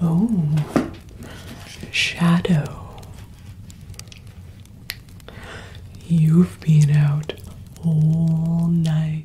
Oh, Shadow. You've been out all night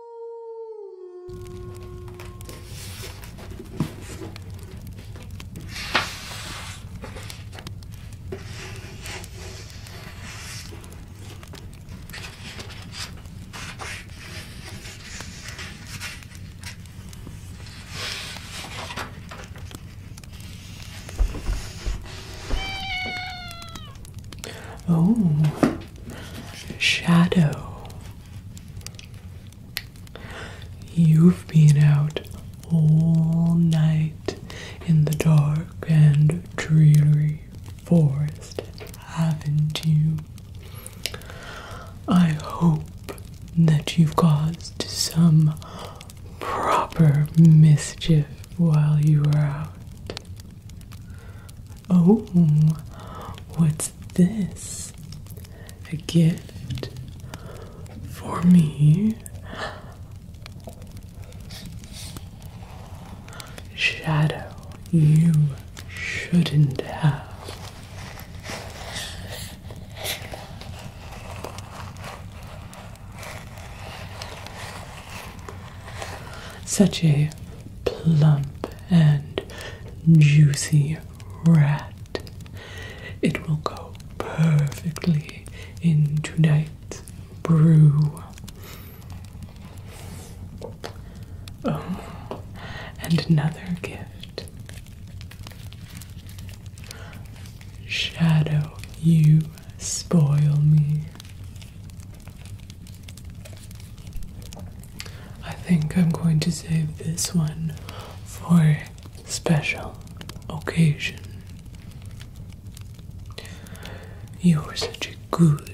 Oh, shadow. You've been out all night in the dark and dreary forest, haven't you? I hope that you've caused some proper mischief while you were out. Oh, what's this? A gift for me? Shadow, you shouldn't have. Such a plump and juicy rat. It will go perfectly in tonight's brew. Oh, and another gift. Shadow, you spoil me. I think I'm going to save this one for special occasion. You're such a good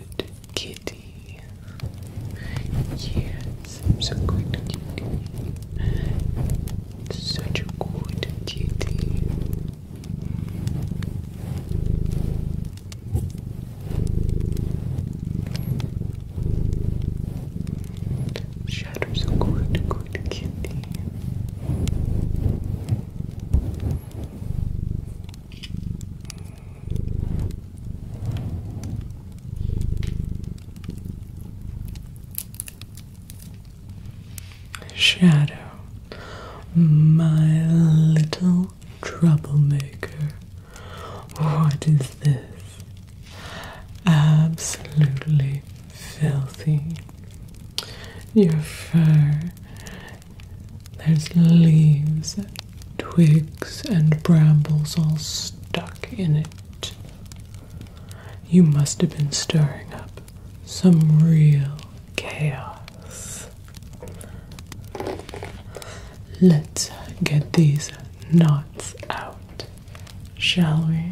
kitty. Yes, I'm good kitty. Such a good kitty. Shadows a good, good kitty. Shadow, my little troublemaker. What is this? Absolutely filthy. Your fur. There's leaves, twigs, and brambles all stuck in it. You must have been stirring up some real chaos. Let's get these knots out, shall we?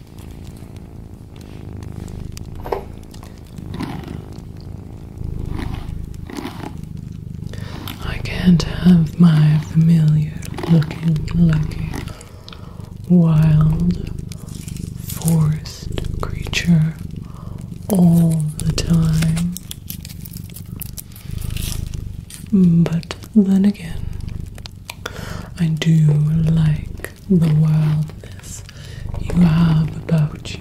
I can't have my familiar looking lucky wild forest creature all the time. But then again, I do like the wildness you have about you.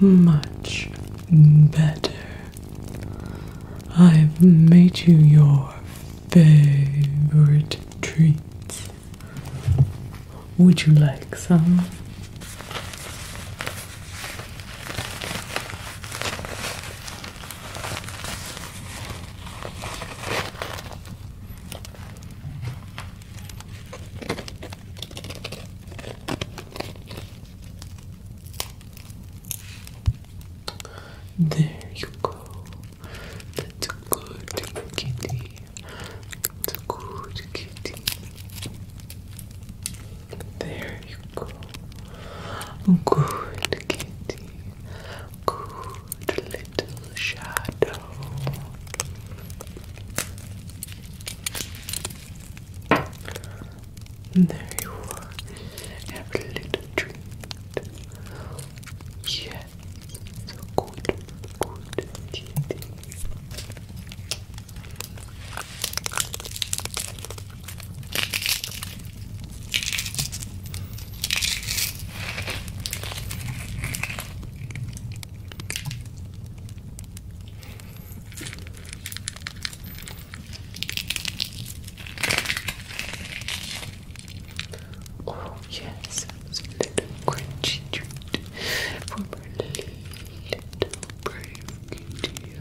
much better. I've made you your favorite treats. Would you like some? There you go. That's a good kitty. a good kitty. There you go. Good kitty. Good little shadow there you are. Have little treat. Yes. So good. Good. Cheating. Oh yes, it's a little crunchy treat for my little brave kitty.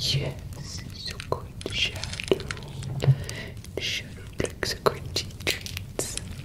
Yes, it's a good shadow. Shadow likes a crunchy treats.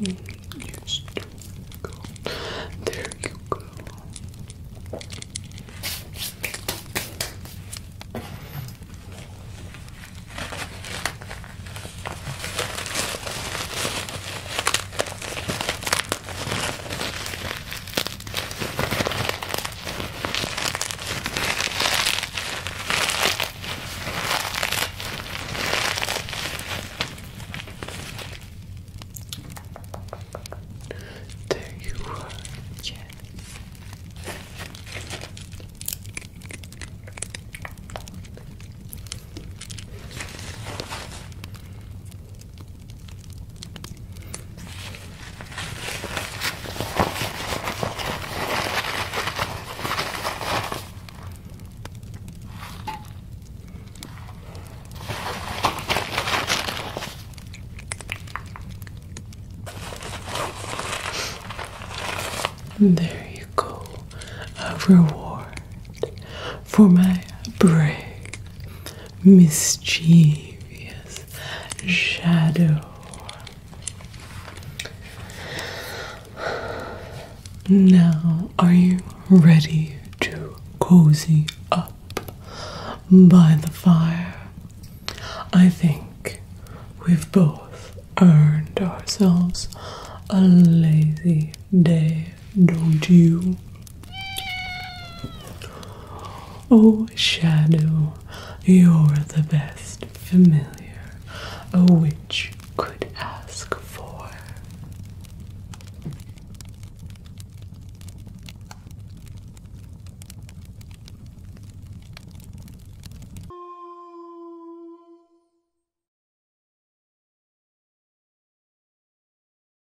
Yes, go. There you go. There you are, Jenny. There you go, a reward for my brave mischievous shadow. Now, are you ready to cozy up by the fire? I think we've both earned ourselves a lazy day, don't you? Oh, shadow, you're the best familiar a witch could ask for.